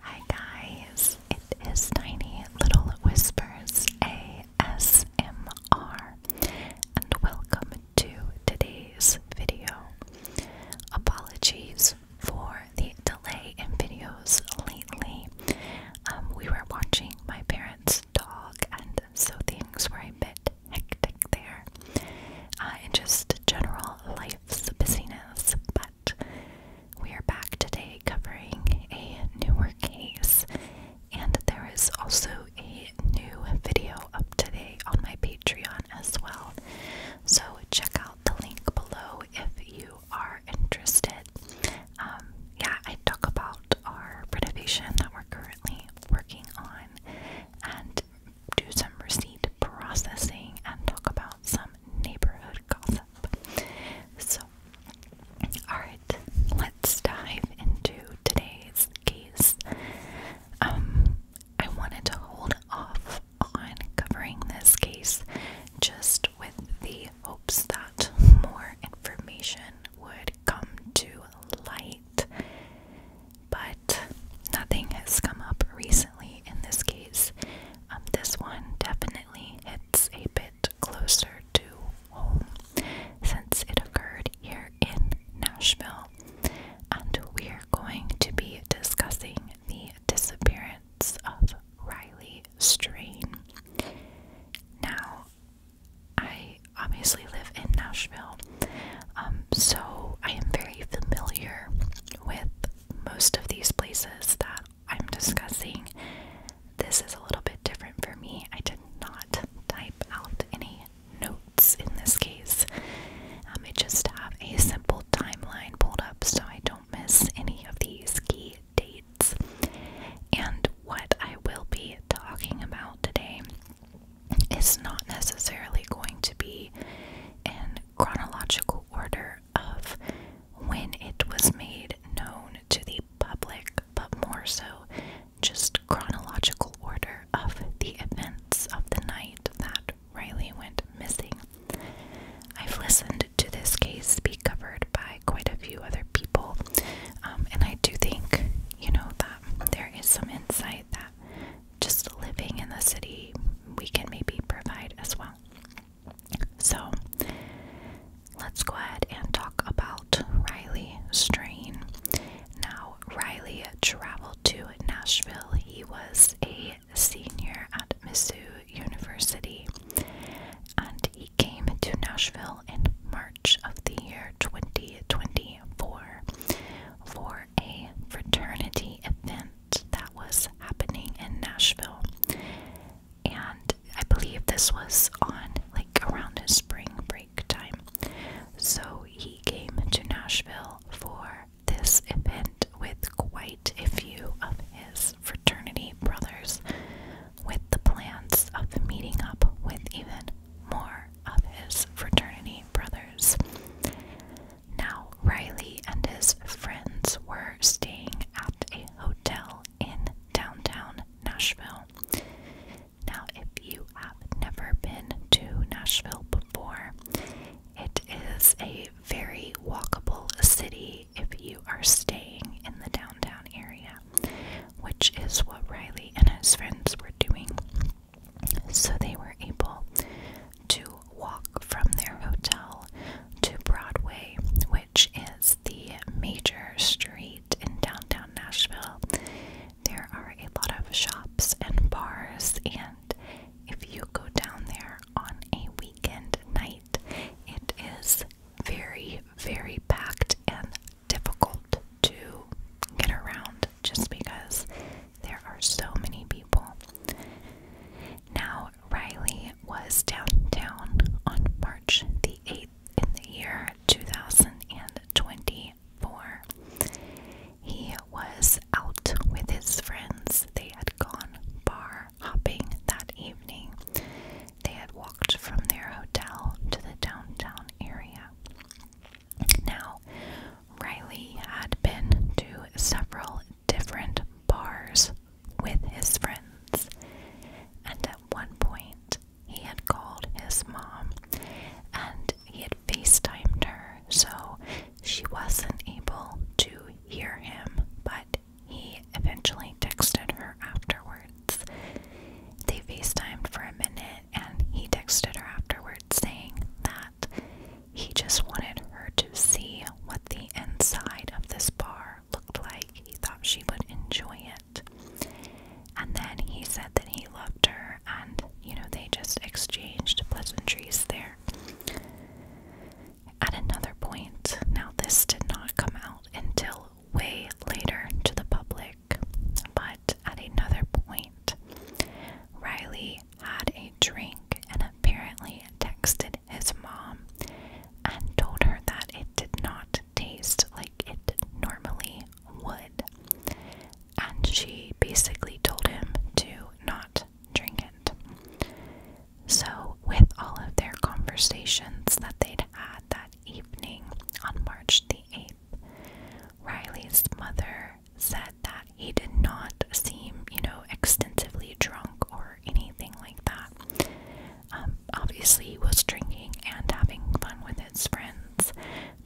Hi guys, it is Tiny Little Whispers ASMR and welcome to today's video. Apologies for the delay in videos lately. Um, we were watching my parents' dog and so things were a bit hectic there. and uh, just general life's busyness, but we are back today covering a newer case, and there is also a new video up today on my Patreon as well. So check out the link below if you are interested. Um, yeah, I talk about our renovation that we're currently working on and do some receipt processing and talk about some neighborhood gossip. So, alright, let's dive into today's case. Um, I wanted to hold off on covering this case just with the hopes that more information would come to light. But nothing has come up recently in this case. Um, this one definitely hits a bit closer to home since it occurred here in Nashville. And we are going to be discussing the disappearance of Riley Strain. Now, I obviously live in Nashville, um, so I am very familiar with most of these places that I'm discussing, this is a little bit different for me. I did not type out any notes in this case. Um, I just have a simple timeline pulled up so I don't miss any of these key dates. And what I will be talking about today is not necessarily going to be in chronological order of when it was made known to the public, but more so just chronological order of the events of the night that Riley went missing. I've listened to this case be covered by quite a few other people, um, and I do think, you know, that there is some insight that just living in the city we can maybe provide as well. So let's go ahead and talk about Riley Strain. Now, Riley traveled to Nashville. He was a senior at Mizzou University and he came to Nashville in March of the year 2024 for a fraternity event that was happening in Nashville. And I believe this was on like around his spring break time. So he came to Nashville for this event with quite a few of his fraternity brothers, with the plans of meeting up with even more of his fraternity brothers. Now, Riley and his friends were staying at a hotel in downtown Nashville. Now, if you have never been to Nashville before, it is a very walkable city if you are staying in the downtown area, which is what Riley and his friends were doing. So they were able to walk from their hotel to Broadway, which is the major street in downtown Nashville. There are a lot of shops and bars, and if you go down there on a weekend night, it is very, very packed and difficult to get around just because there are so many people. Now, Riley was downtown on March the 8th in the year 2024. He was out with his friends. They had gone bar hopping that evening. They had walked from their hotel to the downtown area. Now, Riley had been to several different bars with his friends, and at one point he had called his mom and he had FaceTimed her, so she wasn't able to hear him, but he eventually texted her afterwards. They FaceTimed for a minute and he texted her afterwards saying that he just wanted her to see what the inside of this bar looked like. He thought she would enjoy it. And then he said that he loved her, and you know, they just exchanged pleasantries there. At another point, now this did not come out until way later to the public, but at another point, Riley had a drink and apparently texted his mom and told her that it did not taste like it normally would. And she basically told him to not drink it. So, with all of their conversations that they'd had that evening on March the 8th, Riley's mother said that he did not seem, you know, extensively drunk or or anything like that. Um, obviously, he was drinking and having fun with his friends,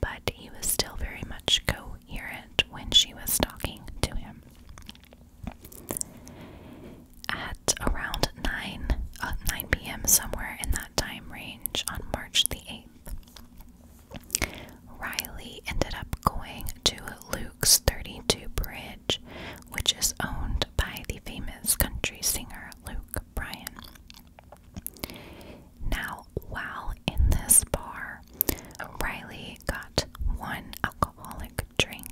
but he was still very much coherent when she was talking to him. At around 9, uh, 9 p.m., somewhere in that time range on March the 8th, Riley ended up going to Luke's 32 Bridge which is owned by the famous country singer Luke Bryan. Now, while in this bar, Riley got one alcoholic drink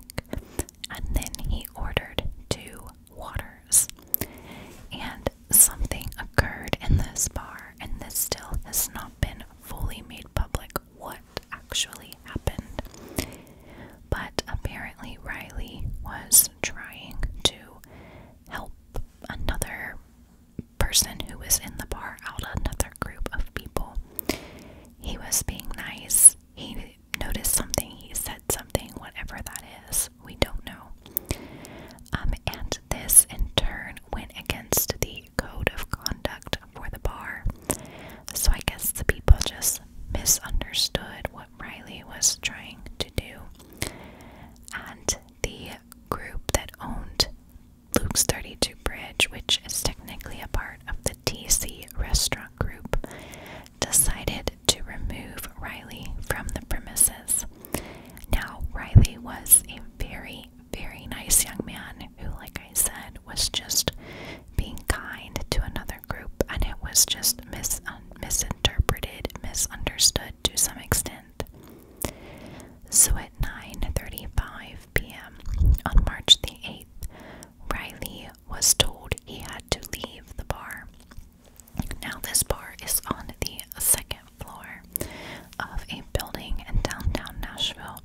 and then he ordered two waters. And something occurred in this bar, and this still has not been fully made public what actually happened. But apparently, Riley was trying to help another person who was in the bar out, another group of people. He was being nice. He noticed something, he said something, whatever that is, we don't know. Um, and this in turn went against the code of conduct for the bar. So I guess the people just misunderstood what Riley was trying to do. And the group that owned Luke's 32 Bridge, which is technically a part of the TC restaurant group, decided to remove Riley from the premises. Now, Riley was a very, very nice young man who, like I said, was just being kind to another group, and it was just mis misinterpreted, misunderstood to some extent. So at 9:35 p.m. on March the 8th, Riley was told he had to leave the bar. Now this bar is on the second floor of a building in downtown Nashville,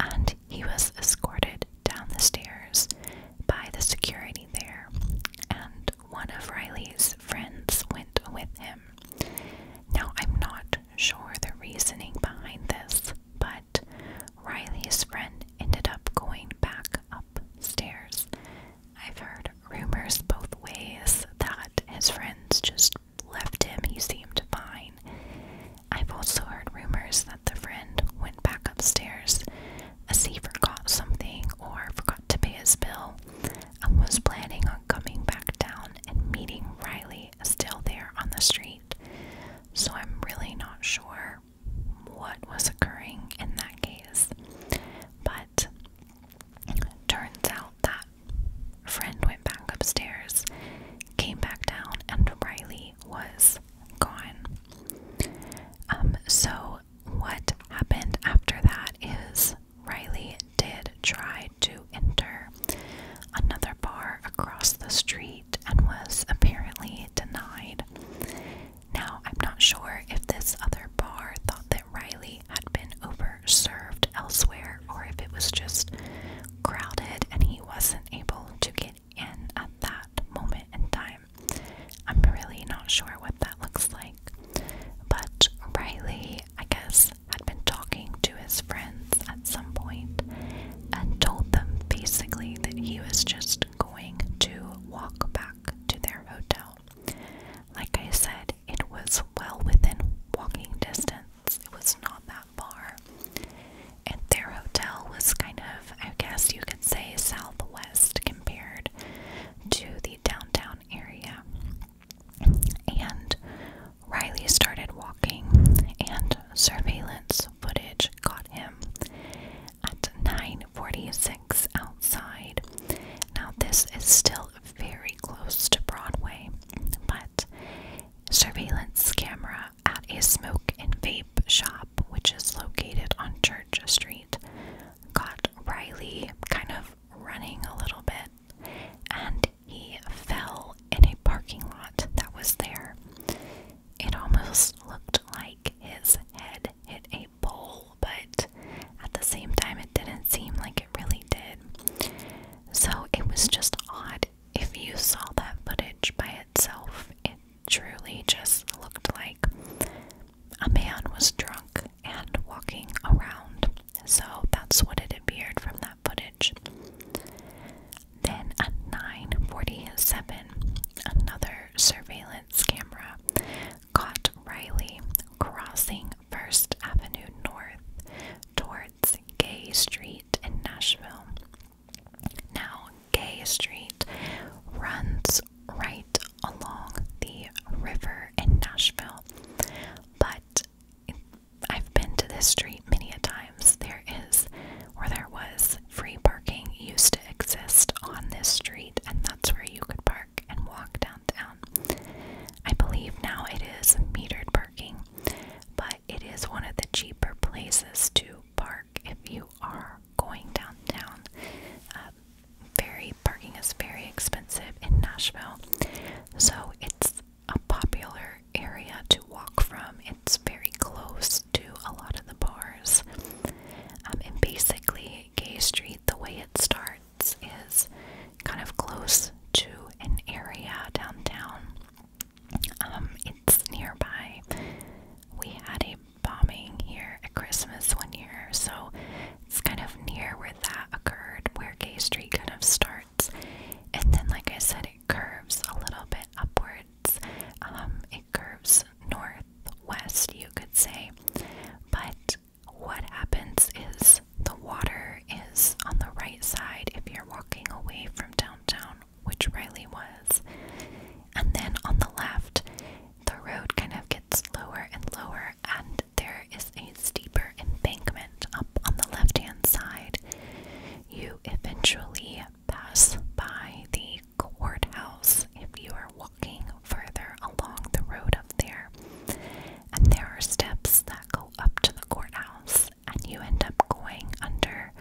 and he was escorted down the stairs by the security there, and one of Riley's friends went with him. Now, I'm not sure the reasoning behind this, but Riley's friend ended up going back upstairs. I've heard rumors both ways that his friends just left him, he seemed fine. I've also heard rumors that the friend went back upstairs as he forgot something or forgot to pay his bill and was planning on coming back down and meeting Riley still there on the street. So I'm really not sure what was occurring in that case. But turns out that friend went back upstairs, came back down, and Riley was was gone. Um, so, what happened after that is Riley did try to enter another bar across the street and was apparently denied. Now, I'm not sure if this other bar thought that Riley had been over-served elsewhere or if it was just crowded and he wasn't able to get and at that moment in time. I'm really not sure what that looks like. But Riley, I guess, had been talking to his friends at some point and told them basically that he was just going to walk back to their hotel. Like I said, it was well within walking distance, it was not that far and their hotel was kind of, I guess you could say, southwest compared to the downtown area. And Riley started walking, and surveillance footage caught him at 9:46 outside. Now this is still very close to Broadway, but surveillance camera at a smoke and vape shop which is located on Church Street, got Riley kind of running a little bit and he fell in a parking lot that was there. It almost looked like his head hit a pole, but at the same time, it didn't seem like it really did. So it was just odd. If you saw that footage by itself, it truly just looked like a man was drunk and walking around. So that's what it appeared from that footage. Then at 9:47, another surveillance camera caught Riley crossing First Avenue North towards Gay Street in Nashville now, Gay Street runs right along the river in Nashville, but I've been to this street many a times. There is, or there was, free parking used to exist on this street, and that's where you could park and walk downtown. I believe now it is metered parking, but it is one of the cheaper places to park if you you are going downtown, um, very parking is very expensive in Nashville, so it's a popular area to walk from. It's very close to a lot of the bars, um, and basically, Gay Street, the way it starts, is kind of close to an area downtown. Um, it's nearby. We had a bombing here at Christmas one year, so it's kind of near where that occurred, where K Street kind of starts. And then, like I said, it curves a little bit upwards. Um, it curves northwest, you could say. But what happens is the water is on the right side if you're walking away from downtown which Riley was. And then on the left, the road kind of gets lower and lower, and there is a steeper embankment up on the left hand side. You eventually pass by the courthouse if you are walking further along the road up there. And there are steps that go up to the courthouse, and you end up going under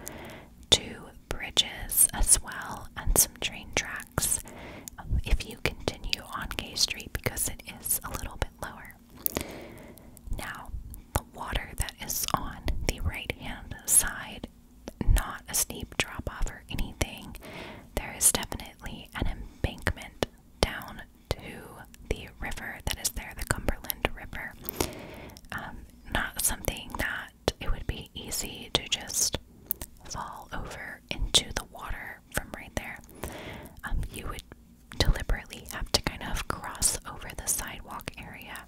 to bridges as well and some train tracks um, if you continue on Gay Street because it is a little bit lower. Now, the water that is on the right hand side, not a steep drop off or anything, there is definitely an embankment down to the river that is there, the Cumberland River. Um, not something that it would be easy to just fall over into the water from right there. Um, you would deliberately have to kind of cross over the sidewalk area.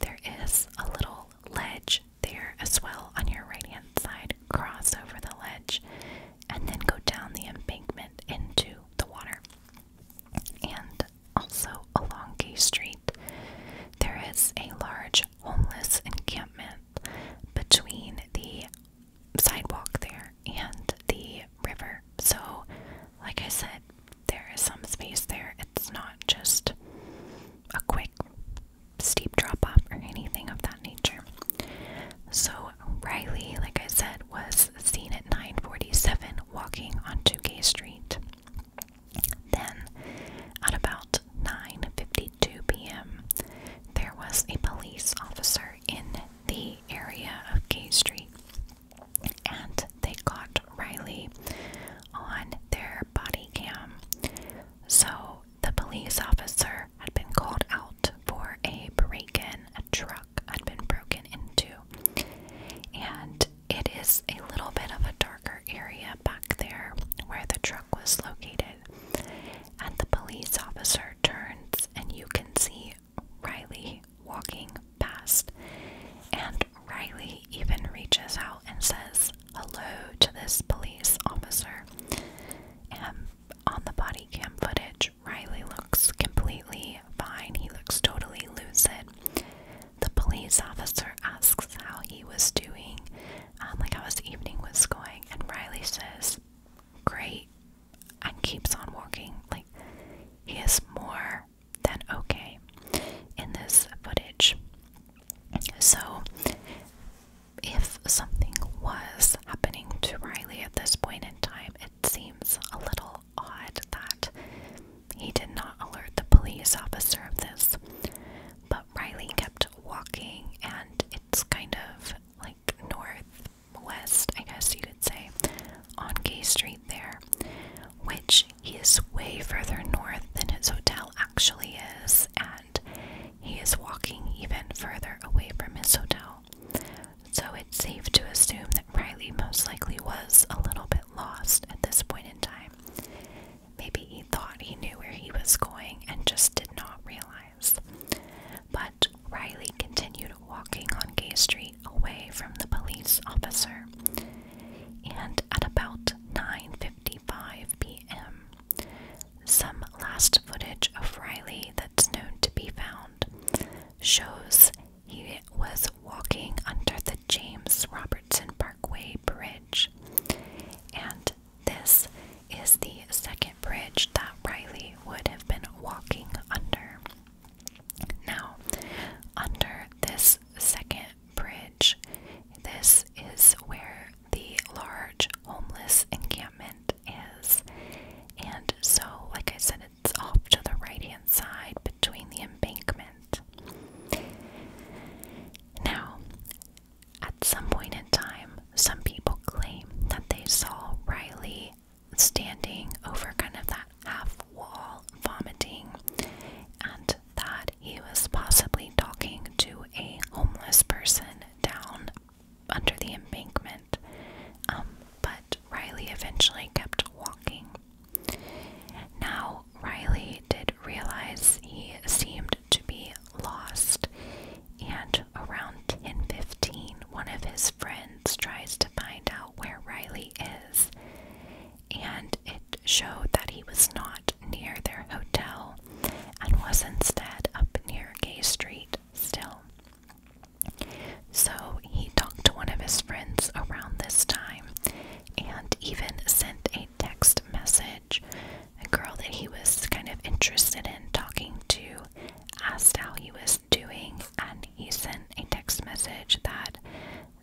There is a little ledge there as well on your right hand side. Cross over the ledge and then go down the embankment into the water. And also along Gay Street, there is a large homeless encampment between the sidewalk there and the river. So, like I said, there is some space there. It's not just a quick, steep drop off or anything of that nature. So, Riley, like I said, was seen at 947 walking on 2K Street. Then, at about 9:52 p.m., there was a police officer in the area of K Street, and they caught Riley on their body cam. So the police officer had been called out for a break-in. A truck had been broken into, and it is a little bit of a darker area back there where the truck was located. And the police officer turns, and you can see Riley walking past. And Riley even reaches out and says hello to this police officer. And on the body cam footage, Riley looks completely fine. He looks totally lucid the police officer asks how he was doing, um, like how his evening was going, and Riley says, Great, and keeps on walking. Like, he is more than okay in this footage. So, if something was happening to Riley at this point in time, it seems a little odd that he did not alert the police officer of this. Riley kept walking, and it's kind of like northwest, I guess you could say, on Gay Street there, which is way further north than his hotel actually is, and he is walking even further away from his hotel. So it's safe to assume that Riley most likely was a little bit lost at this point in time. Maybe he thought he knew where he was going and just did not realize. But Riley continued walking on Gay Street away from the police officer. And at about 9:55 p.m., some last footage of Riley that's known to be found shows he was walking under the James Robertson Parkway Parkway Bridge. And this is the second bridge that Riley would have been walking under. Now, under this second bridge, this is where the large homeless encampment is. And so, like I said, it's off to the right hand side between the embankment. Now, at some point in time, some people claim that they saw Riley standing over kind of that half wall vomiting and that he was possibly talking to a homeless person down under the embankment. Um, but Riley eventually kept walking. Now, Riley did realize he seemed to be lost, and around 10:15, one of his friends tries to find out where Riley is, and it showed that he was not near their hotel and was instead up near Gay Street still. So he talked to one of his friends around this time and even sent a text message a girl that he was kind of interested in talking to asked how he was doing, and he sent a text message that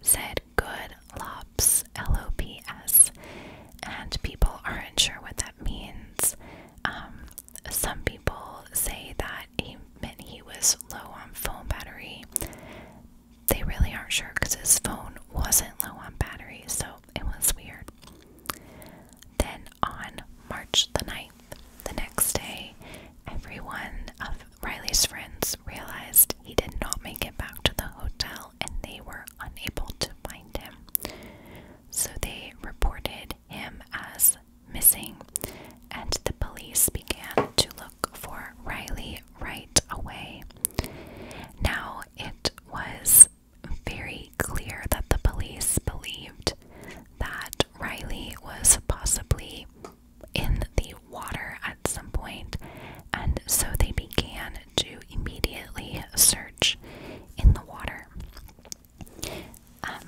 said good lops l-o-p-s and people aren't sure what that means um, some people say that he meant he was low on phone battery they really aren't sure because his phone wasn't low on battery, so it was weird. Then on March the 9th, the next day, every one of Riley's friends realized he did not make it back to the hotel and they were unable to find him. So they reported him as missing, and the police began to look for Riley right away. Now, it was very clear that the police believed that Riley was possibly in the water at some point, and so they began to immediately search in the water. Um,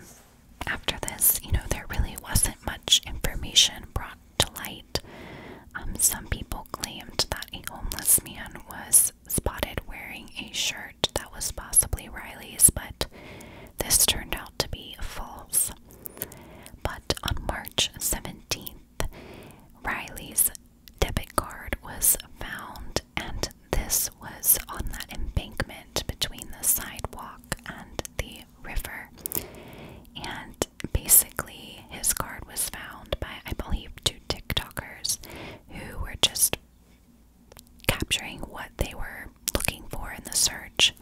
after this, you know, there really wasn't much information brought to light um, some people claimed that a homeless man was spotted wearing a shirt that was possibly Riley's, but this turned out to be false. But on March 17th, Riley's debit card was found, and this was on that embankment between the sidewalk and the river. And basically, his card was found by, I believe, two TikTokers who were just capturing what they were looking for in the search.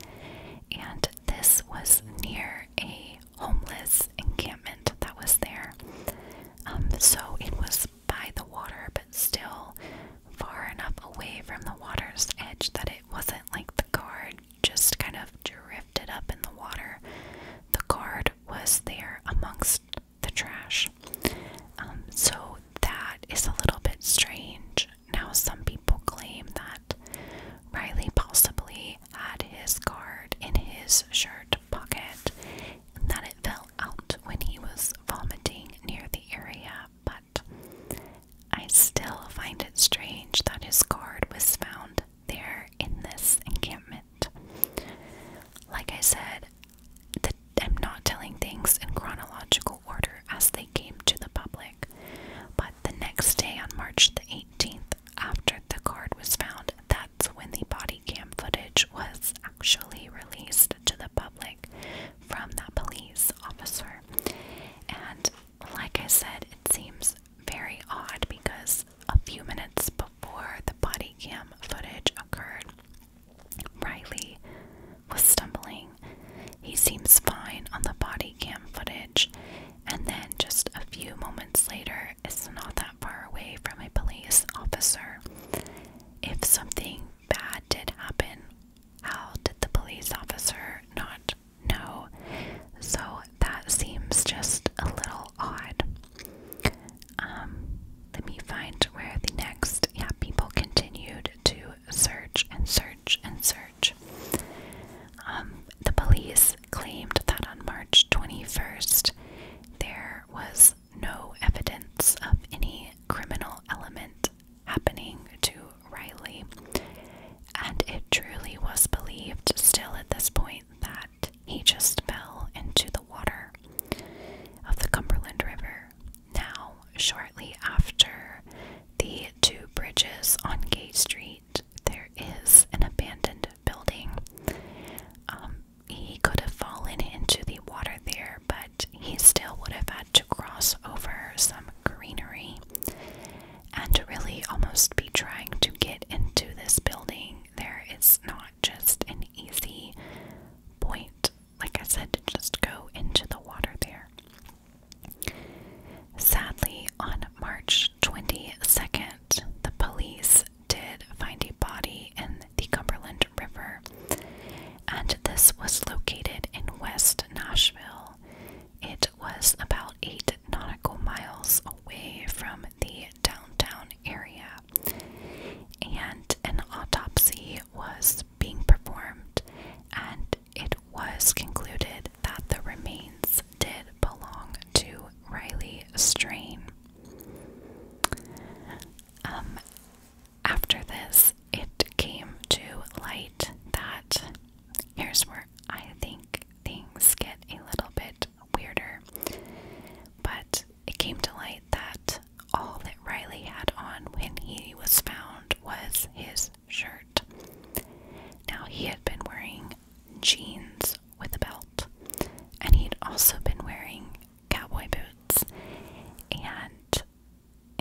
And this was near a homeless encampment that was there. Um, so it was by the water, but still far enough away from the water's edge that it wasn't like the card just kind of drifted up in the water. The card was there amongst the trash. Um, so that is a little bit strange. Now, some people claim that Riley possibly had his card in his shirt pocket and that it fell out when he was vomiting near the area, but I still find it strange that his card was found there in this encampment. Like I said, the, I'm not telling things in chronological order as they came to the public, but the next day on March the 18th, after the card was found, that's when the body cam footage was actually released to the public from that police officer. And like I said, it seems very odd because a few minutes before the body cam footage occurred. Riley was stumbling. He seems fine on the body cam footage, and then just a few moments later, is not that far away from a police officer. If something bad did happen, how did the police officer not know? So that seems just a little odd. Um, let me find where the next. Yeah, people continued to search and search and search. Um, the police claimed that on March 21st, there was no evidence of any criminal element happening to Riley. And it truly was believed, still at this point, that he just fell into the water of the Cumberland River. Now, shortly after the two bridges on Gate Street, there is an abandoned building. Um, he could have fallen into the water there, but he still would have had to cross over some greenery and really almost be trying to get into this building. There is not just an easy point, like I said, to just go into the water there. Sadly, on March 22nd, the police did find a body in the Cumberland River, and this was located in West Nashville. It was about eight nautical miles away from the downtown area. And an autopsy was being performed, and it was concluded that the remains did belong to Riley Strain. Um, after this, it came to light that here's where I think things get a little bit weirder. But it came to light that all that Riley had on when he was found was his shirt. Now, he had been wearing jeans with a belt, and he'd also been wearing cowboy boots, and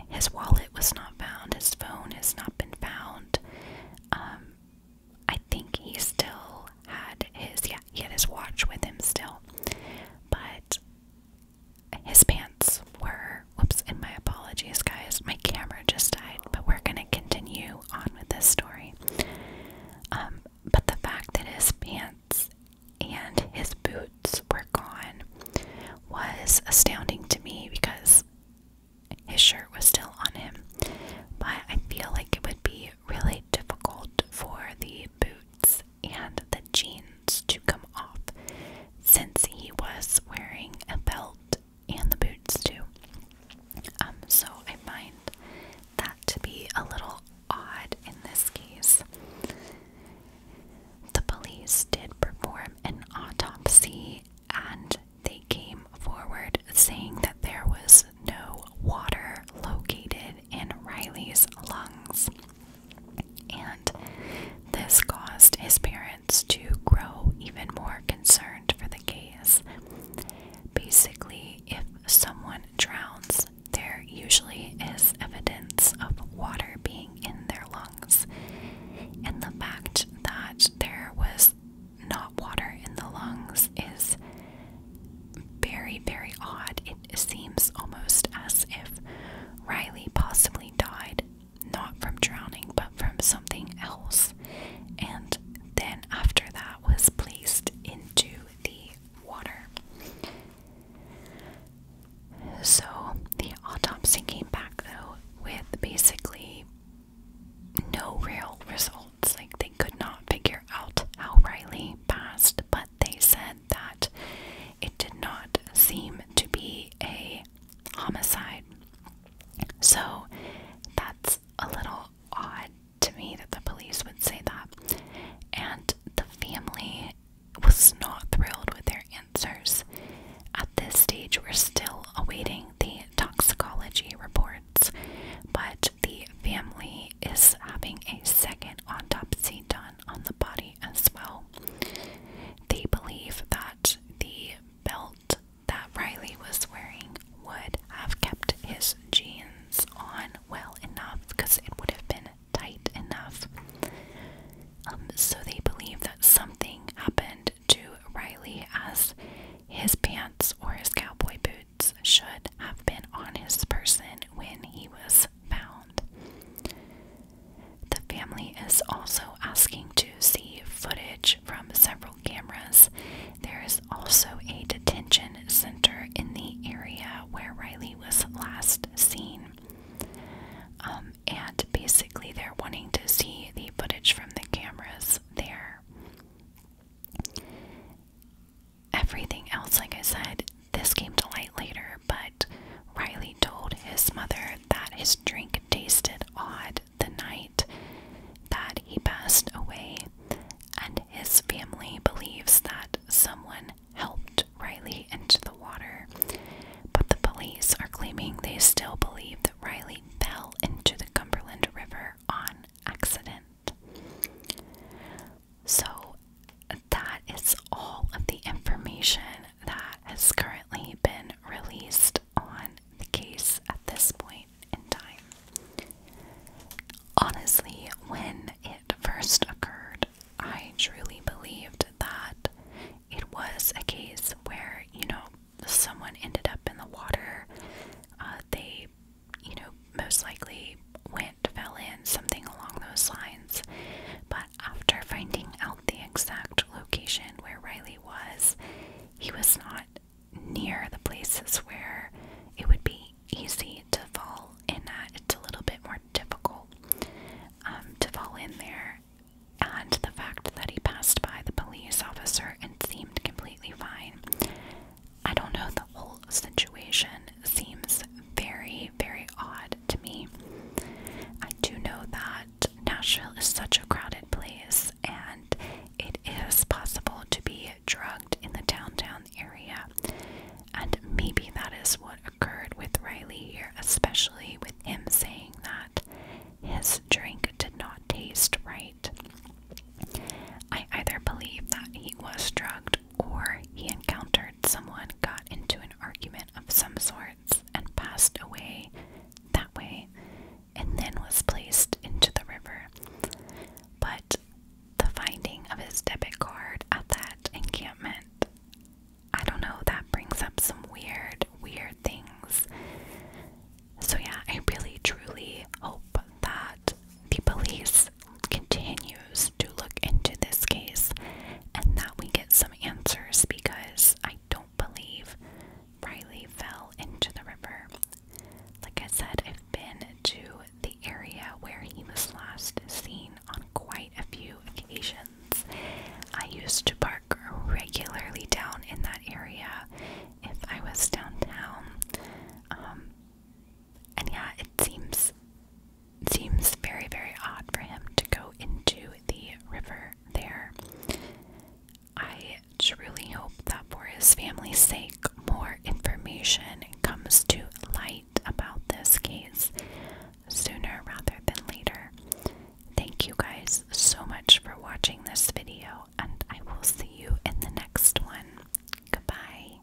his wallet was not found, his phone has not been found. Um, I think he still had his yeah, he had his watch with him still. But his pants were whoops, and my apologies guys, my camera just died, but we're gonna continue on with this story. Um, but the fact that his pants and his boots were gone was astounding to me because his shirt was still on him. But I feel like it would be really difficult for the boots and the jeans to come off since he was wearing a belt and the boots too. Um, so I find that to be a little odd in this case. The police did perform an autopsy and they came forward saying that there was no water located in Riley's lungs, and this caused his parents to grow even more concerned for the case. Basically, if someone drowns, there usually is evidence of water being in their lungs, and the fact that there was not water in the lungs is very, very odd it seems almost as if Riley possibly died, not from drowning, but from something else, and then after that was placed into the water. So the autopsy came back though with basically no real results. Like they could not figure out how Riley passed, but they said that it did not seem to be a homicide. So that's a little odd to me that the police would say that. And the family was not thrilled with their answers. At this stage, we're still awaiting the toxicology reports, but the family is having a second autopsy done on the body as well. They believe that the belt that Riley was wearing would have kept his jeans on well enough because it would have been tight enough. Um, so they believe that something happened to Riley as his pants or his cowboy boots should have been on his person when he was found. The family is also asking to see footage from several cameras. There is also a detention center in the area where Riley was last seen. Um, and basically, they're wanting to see the footage from the cameras there everything else, like I said, this came to light later, but Riley told his mother that his drink tasted odd the night that he passed away, and his family believes that someone helped Riley into the water. But the police are claiming they still believe that Riley fell into the Cumberland River on accident. So, that is all of the information that has currently been released on the case at this point in time. Honestly, when it first occurred, I truly believed that it was a case where, you know, someone ended up in the water, uh, they you know, most likely went, fell in, something along those lines. But after finding out the exact location where Riley was, he was not near the places where it would be easy to fall in that. It's a little bit more difficult um, to fall in there. And the fact that he passed by the police officer and seemed completely fine, I don't know, the whole situation seems very, very odd to me. I do know that Nashville is such a crowded place and it is possible to be drugged in the downtown area. And maybe that is what occurred with Riley here, especially with him saying that his drink did not taste right. I either believe that he was drugged or he encountered someone, got into an argument of some sorts, and passed away that way, and then was placed into the river. But the finding of his debit card at that encampment, I don't know, that brings up some weird, weird things. So, yeah, I really, truly hope that the police continues to look into this case and that we get some answers because I don't believe Riley fell into the river. Like I said, I've been to the area where he was last seen on quite a few occasions. I used to park regularly down in that area if I was downtown. Um, and yeah, it seems seems very very odd for him to go into the river there. I truly hope that for his family's sake, more information comes to light about this case sooner rather than later. Thank you guys so much for watching this video, and I will see you in the next one. Goodbye.